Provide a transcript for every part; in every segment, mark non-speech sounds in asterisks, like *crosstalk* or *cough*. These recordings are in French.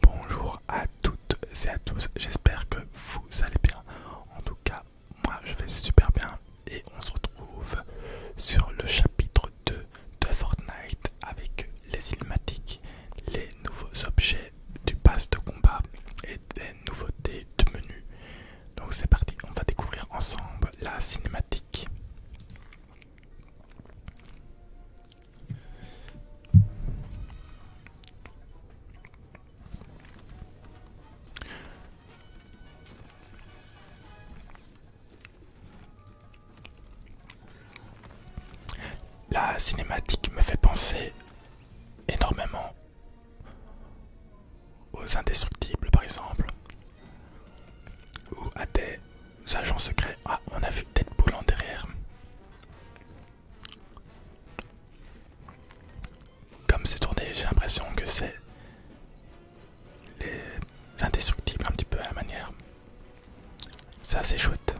Bonjour à toutes et à tous, j'espère que vous allez bien. En tout cas, moi je vais super bien et on se retrouve sur le chapitre 2 de Fortnite avec les cinématiques les nouveaux objets du pass de combat et des nouveautés de menu. Donc c'est parti, on va découvrir ensemble la cinématique. La cinématique me fait penser énormément aux indestructibles par exemple ou à des agents secrets. Ah on a vu Deadpool en derrière. Comme c'est tourné, j'ai l'impression que c'est l'indestructible un petit peu à la manière. C'est assez chouette.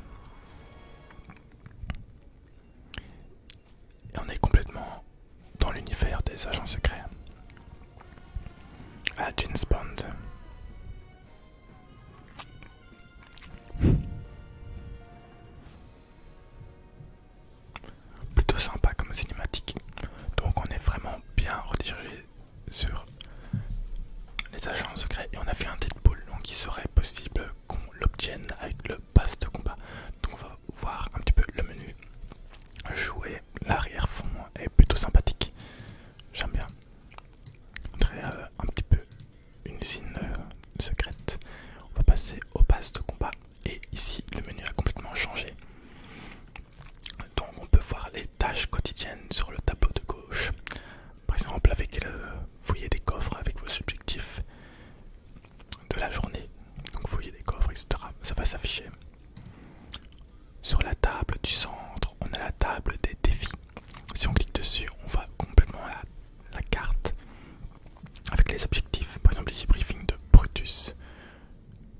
Et on est complètement dans l'univers des agents secrets. À James Bond. Plutôt sympa comme cinématique. Donc on est vraiment bien redirigé sur les agents secrets et on a fait un Deadpool donc il serait possible qu'on l'obtienne avec le pass de combat. Donc on va voir un petit peu le menu. Jouer l'arrière-fond est plutôt sympathique. J'aime bien. On euh, un petit peu une usine euh, secrète. On va passer aux bases de combat. Et ici, le menu a complètement changé. Donc, on peut voir les tâches quotidiennes sur le tableau de gauche. Par exemple, avec le fouiller des coffres, avec vos objectifs de la journée. Donc, fouiller des coffres, etc. Ça va s'afficher. Sur la table du centre, on a la table des défis. Si on clique dessus, on va complètement la, carte avec les objectifs. Par exemple, ici, briefing de Brutus.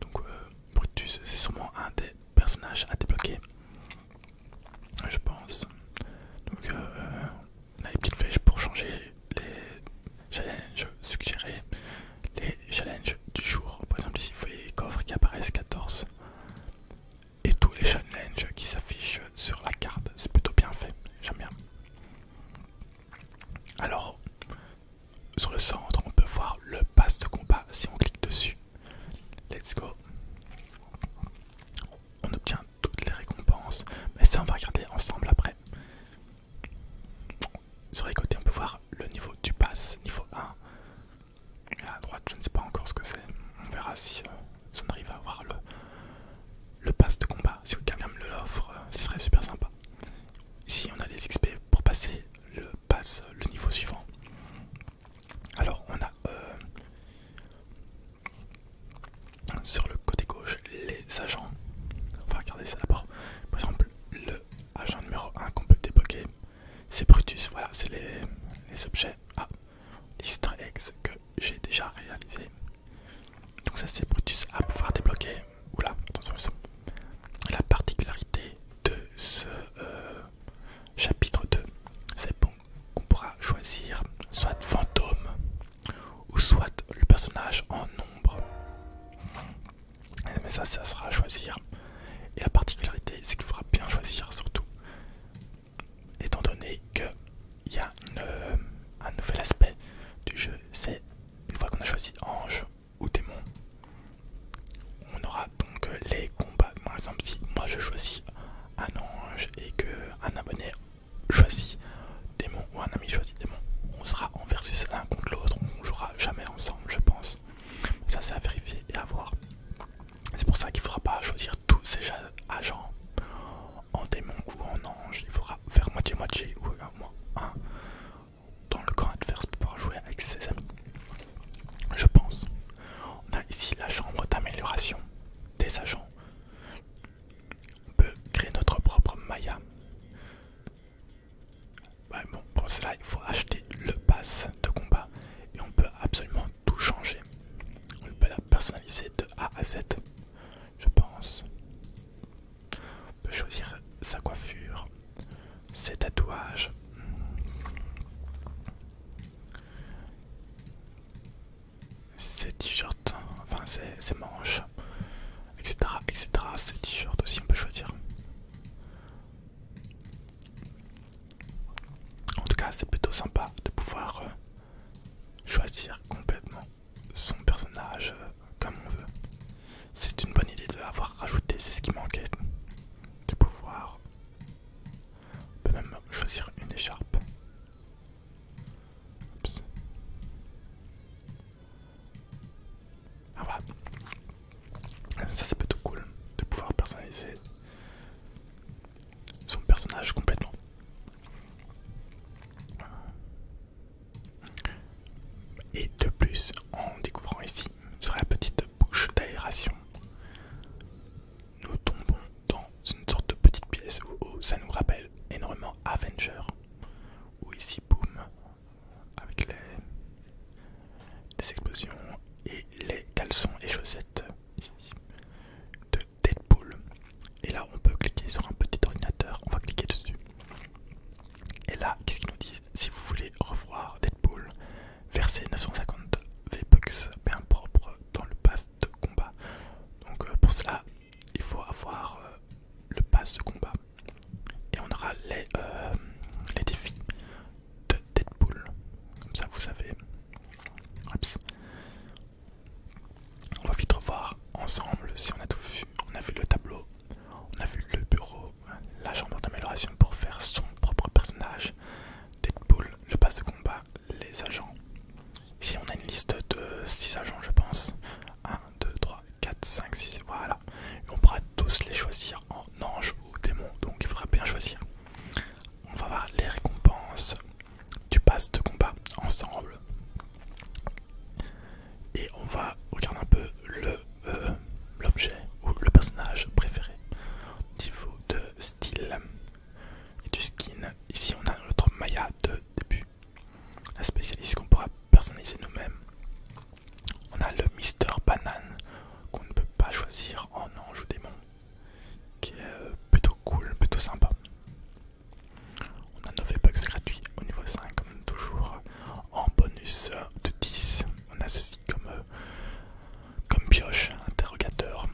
Donc, euh, Brutus, c'est sûrement un des personnages à débloquer, je pense. Donc, euh, on a les petites flèches pour changer les challenges suggérés, les challenges du jour. Par exemple, ici, vous voyez les coffres qui apparaissent 14 et tous les challenges qui s'affichent sur la carte. C'est plutôt bien fait, j'aime bien. Alors, sur le centre, on peut voir le pass de combat si on clique dessus. Let's go. On obtient toutes les récompenses, mais ça on va regarder ensemble après. Sur les côtés, on peut voir le niveau du pass, niveau 1 à droite, je ne sais pas encore ce que c'est. On verra si euh, on arrive à avoir le, le pass de combat. Si quelqu'un me l'offre, euh, ce serait super sympa. Ici, on a les XP pour passer le pass, euh, le niveau suivant. Alors, on a sur le côté gauche les agents. On va regarder ça d'abord. Par exemple, le agent numéro 1 qu'on peut débloquer, c'est Brutus. Voilà, c'est les objets ah, ex que j'ai déjà réalisé. Donc ça c'est Brutus à pouvoir débloquer. Oula, attention La particularité de ce euh, chapitre 2, c'est bon qu'on pourra choisir soit fantôme ou soit le personnage en ombre. Mais ça, ça sera à choisir. Et la particularité, c'est qu'il faudra bien choisir surtout étant donné qu'il y a euh, un nouvel aspect du jeu, c'est une fois qu'on a choisi ange ou démon, on aura donc euh, les combats. Par exemple, si moi je choisis un ange et qu'un abonné choisit démon ou un ami choisit démon, on sera en versus l'un contre l'autre, on jouera jamais ensemble, je pense. Ça, c'est à vérifier et à voir. C'est pour ça qu'il ne faudra pas choisir tous ces agents en démon ou en ange. Il faudra faire moitié-moitié ou au moins un dans le camp adverse pour pouvoir jouer avec ses amis. Je pense. On a ici la chambre d'amélioration des agents. On peut créer notre propre Maya. bon, pour cela, il faut acheter le pass de combat et on peut absolument tout changer. On peut la personnaliser de A à Z, je pense. On peut choisir sa coiffure, ses tatouages. Ses t-shirts, enfin ses, ses manches, etc. etc. Ses t-shirts aussi, on peut choisir. En tout cas, c'est plutôt sympa de pouvoir euh, choisir complètement son personnage euh, comme on veut. C'est une bonne idée de l'avoir rajouté, c'est ce qui manquait. De pouvoir. On peut même choisir une écharpe. Ah voilà. Ça, c'est plutôt cool de pouvoir personnaliser son personnage complètement. Et de plus, en découvrant ici sur la petite bouche d'aération, nous tombons dans une sorte de petite pièce où ça nous rappelle énormément Avenger. Ou ici, boum, avec les des explosions et les caleçons et chaussettes de Deadpool. Et là, on peut cliquer sur un petit ordinateur, on va cliquer dessus. Et là, qu'est-ce qu'il nous dit Si vous voulez revoir Deadpool, versez 950 V-Bucks bien propre dans le pass de combat. Donc euh, pour cela, il faut avoir euh, le pass de combat. Et on aura les, euh, les défis de Deadpool. Comme ça, vous savez. On va vite revoir ensemble si on a tout vu. On a vu le tableau, on a vu le bureau, la chambre d'amélioration pour faire son propre personnage, Deadpool, le pass de combat, les agents. Ici, on a une liste de 6 agents, je pense. 1, 2, 3, 4, 5, 6. Voilà on pourra tous les choisir en ange ou démon, donc il faudra bien choisir. On va voir les récompenses du pass de combat ensemble. Et on va regarder un peu euh, l'objet ou le personnage préféré niveau de style et du skin. Ici on a notre Maya de début, la spécialiste qu'on pourra personnaliser nous-mêmes. On a le Mister Banane qu'on ne peut pas choisir en ange ou démon, qui est euh, plutôt cool, plutôt sympa. On a nos v gratuit au niveau 5 comme toujours. En bonus de 10, on a ceci comme, euh, comme pioche, interrogateur.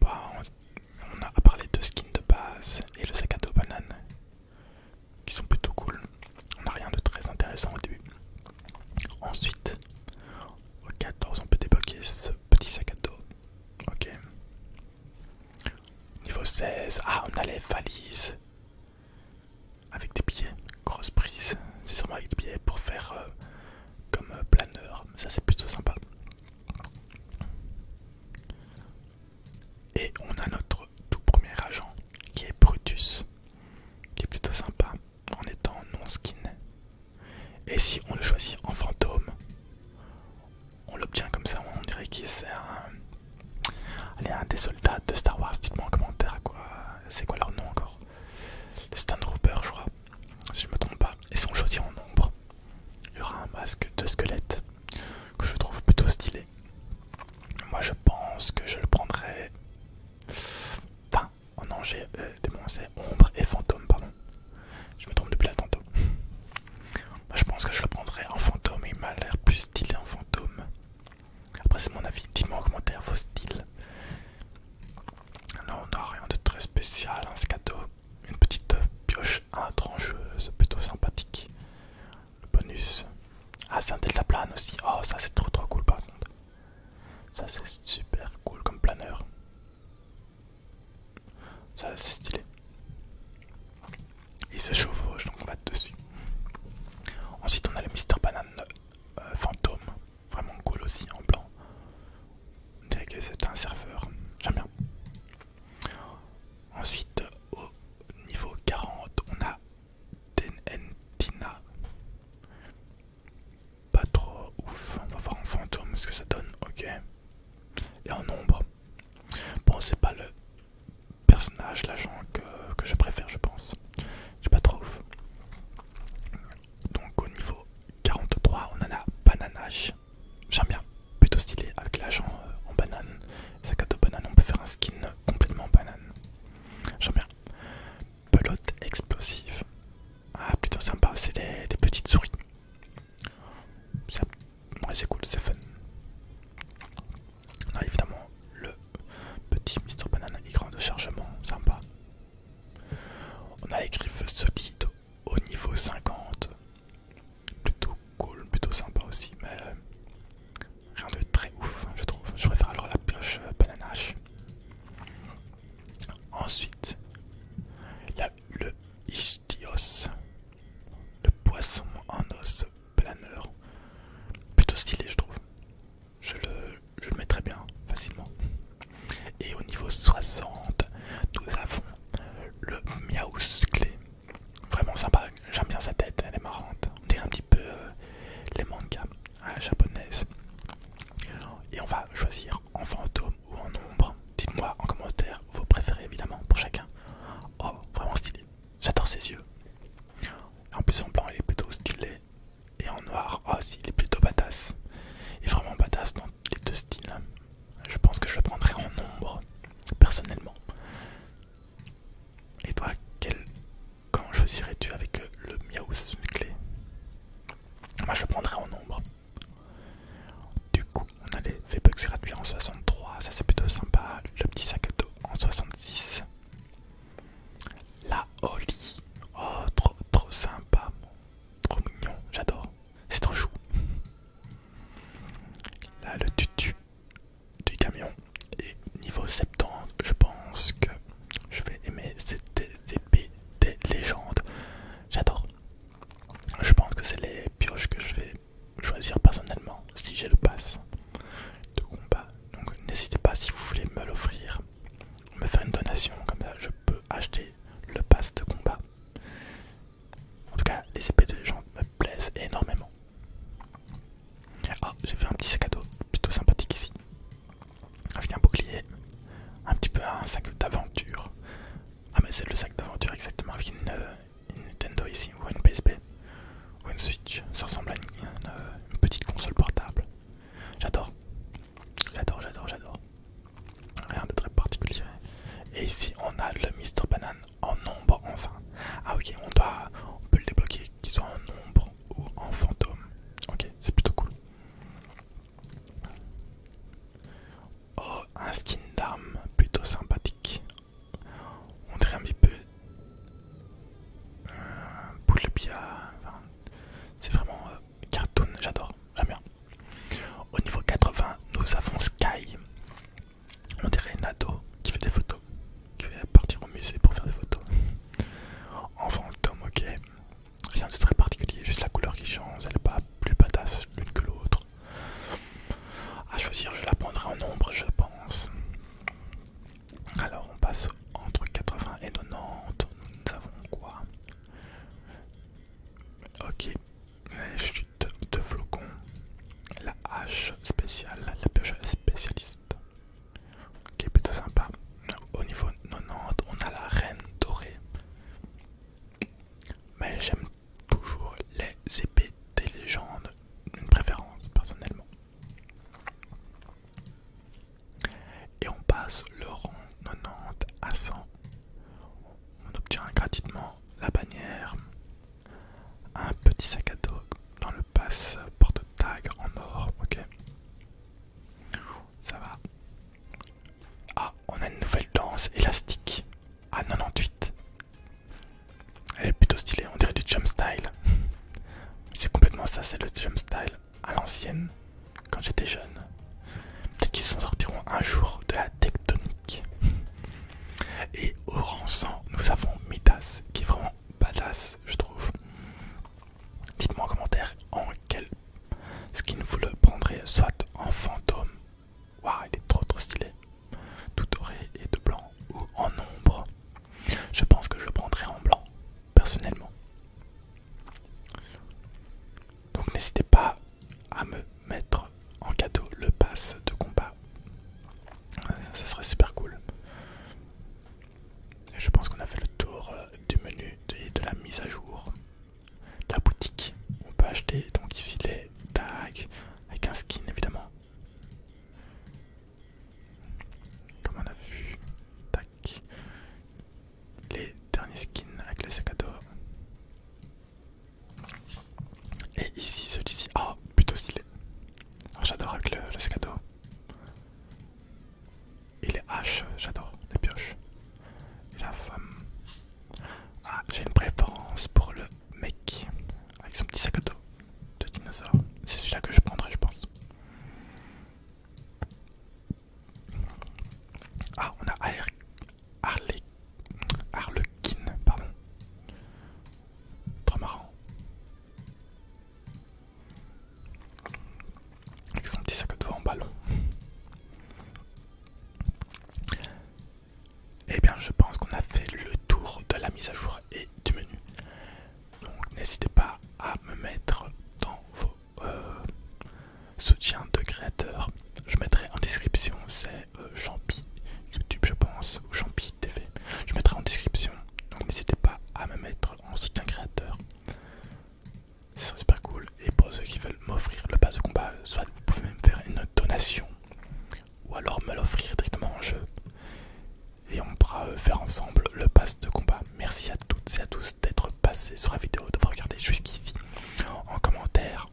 Bah, on, on a parlé de skins de base et le sac à dos banane qui sont plutôt cool. On n'a rien de très intéressant au début. Ensuite, au 14, on peut débloquer ce petit sac à dos. Ok. Niveau 16, ah, on a les valises avec des billets. Grosse prise, c'est sûrement avec des billets pour faire euh, comme euh, planeur. Ça, c'est plutôt sympa. Et on a notre tout premier agent qui est Brutus qui est plutôt sympa en étant non skin. Et si on le choisit en fantôme, on l'obtient comme ça, on dirait qu'il c'est un... un des soldats de Star Wars, dites-moi en commentaire quoi. C'est quoi leur nom encore Les Troopers, je crois, si je me trompe pas. Et si on choisit en ombre, il y aura un masque de squelette que je trouve plutôt stylé. Moi je pense que je le prendrai Enfin, en Angers, euh, démons, ombre et fantôme, pardon. Je me trompe depuis là tantôt. Bah, je pense que je le prendrais en fantôme, il m'a l'air plus stylé en fantôme. Après, c'est mon avis. Dites-moi en commentaire vos styles. Là, on n'a rien de très spécial, Un hein, ce cadeau. Une petite pioche étrangeuse, plutôt sympathique bonus. Ah, c'est un plane aussi. Oh, ça c'est trop trop cool par contre. Ça c'est super cool comme planeur. Ça c'est stylé. Il se chevauche donc on va dessus. Ensuite, on a le Mister Banane euh, fantôme. Vraiment cool aussi en blanc. On dirait que c'est un serveur. J'aime bien. Ensuite, au niveau 40, on a Tenentina. Pas trop ouf. On va voir en fantôme ce que ça donne. Ok. Et en ombre. Bon, c'est pas le personnage, l'agent que, je préfère, je pense. J'ai pas trop ouf. Donc, au niveau 43, on a la J'aime bien. Plutôt stylé avec l'agent euh, en banane. Sa à banane, on peut faire un skin complètement banane. J'aime bien Pelote explosif. Ah, plutôt sympa, c'est des, petites souris. C'est cool, c'est fun. On a évidemment le petit Mr. Banana écran de chargement, sympa. On a les griffes solides au niveau 50. Plutôt cool, plutôt sympa aussi, mais euh, Rien de très ouf, je trouve. Je préfère alors la pioche euh, bananache. Ensuite, le Istios, le poisson en os planeur. Plutôt stylé, je trouve. Je le, je mets très bien, facilement. Et au niveau 60, nous avons le clé Vraiment sympa, j'aime bien sa tête, elle est marrante. On dirait un petit peu euh, les mangas euh, japonaises. Et on va choisir en fantôme ou en ombre. Dites-moi en commentaire vos préférés évidemment pour chacun. Oh, vraiment stylé. J'adore ses yeux. En plus en blanc il est plutôt stylé. Et en noir, oh si, il est plutôt badass. Et vraiment badass dans les deux styles. Je pense que je le prendrai en ombre, personnellement. Et toi, quel Comment choisirais-tu avec euh, le Miaou une clé Moi je prendrais en nombre. Du coup, on a les V-Bucks gratuits en 63, ça c'est plutôt sympa. Le petit sac à dos en 66. La Oli, oh trop trop sympa, trop mignon, j'adore, c'est trop chou. Là le tutu du camion. Et niveau 70, je pense que je vais aimer cette épée des légendes. J'adore. Je pense que c'est les pioches que je vais choisir personnellement si j'ai le pass de combat. Donc n'hésitez pas si vous voulez me l'offrir, me faire une donation, comme ça je peux acheter le pass de combat. En tout cas, les épées de légende me plaise énormément. Oh, j'ai fait un petit sac à dos plutôt sympathique ici. Avec un bouclier, un petit peu un sac d'aventure. Ah, mais c'est le sac d'aventure exactement avec une, euh, Nintendo ici, ou une PSP, ou une Switch. Ça ressemble à euh, une, petite console portable. J'adore, j'adore, j'adore, j'adore. Rien de très particulier. Et ici, on a le Mr. Banane en nombre enfin. Ah ok, on, doit, on peut le débloquer, qu'ils soit en nombre ou en fantôme. Ok, c'est plutôt cool. Oh, un skin d'arme plutôt sympathique. On dirait un petit peu... un euh, boule de c'est vraiment euh, cartoon, j'adore, j'aime bien. Au niveau 80, nous avons Sky. On dirait une qui fait des photos, qui va partir au musée pour faire des photos. Enfin, le tome, ok, rien de très particulier, juste la couleur qui change, elle n'est pas plus badass l'une que l'autre. À choisir, je la prendrai en ombre, je pense. Alors, on passe entre 80 et 90. Nous avons quoi Ok, chute de flocons la hache spéciale, la pioche spécialiste, qui est plutôt sympa. Au niveau 90, on a la reine dorée, mais j'aime toujours les épées des légendes, une préférence personnellement. Et on passe le rang 90 à 100. On obtient gratuitement la bannière, un petit sac à dos dans le passe porte tag en or, ok Ça va. Ah, on a une nouvelle danse élastique à ah, 98. Elle est plutôt stylée, on dirait du jump style. *laughs* c'est complètement ça, c'est le jump style à l'ancienne, quand j'étais jeune. Peut-être qu'ils s'en sortiront un jour de la tectonique. *laughs* Et au rang nous avons Midas, qui est vraiment badass, je trouve. Dites-moi en commentaire en quel skin vous le prendrez, soit en fantôme, waouh, il est trop trop stylé, tout doré et de blanc, ou en ombre. Je pense que je le prendrai en blanc, personnellement. Donc n'hésitez pas à me mettre en cadeau le pass de combat. Euh, ce serait super cool. je pense qu'on a fait le tour euh, du menu de, la mise à jour. de La boutique, on peut acheter donc ici les tags avec un skin évidemment. Comme on a vu, Les derniers skins avec les sac à dos. Et ici, celui-ci. oh, plutôt stylé. Ah, j'adore avec le, sac à dos. Et les haches, j'adore les pioches. femme. Ah, j'ai une préférence pour le mec avec son petit sac à dos de dinosaure. C'est celui-là que je prendrai, je pense. Ah, on a Harley Harlequin, pardon. Trop marrant. Avec son petit sac de vent en ballon. Et eh bien, je pense qu'on a fait le tour de la mise à jour et du menu. Donc, n'hésitez pas à me mettre dans vos euh, soutiens de créateurs. Je mettrai en description, c'est euh, YouTube, je pense, ou Champi je mettrai en description. Donc n'hésitez pas à me mettre en soutien créateur. c'est super cool. Et pour ceux qui veulent m'offrir le pass de combat, soit vous pouvez même faire une donation. Ou alors me l'offrir directement en jeu. Et on pourra euh, faire ensemble le pass de combat. Merci à toutes et à tous d'être passés sur la vidéo, vous regarder jusqu'ici. En commentaire,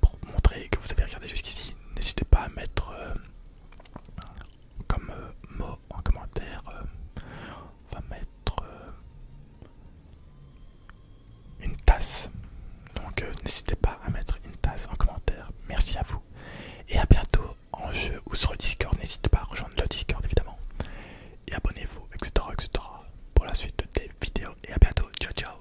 pour montrer que vous avez regardé jusqu'ici, n'hésitez pas à mettre euh, comme euh, mot en commentaire, euh, on va mettre une tasse. Donc n'hésitez pas à mettre une tasse en commentaire. Merci à vous et à bientôt en jeu ou sur le Discord. N'hésitez pas à rejoindre le Discord évidemment et abonnez-vous, etc., etc. pour la suite des vidéos. Et à bientôt. Ciao, ciao.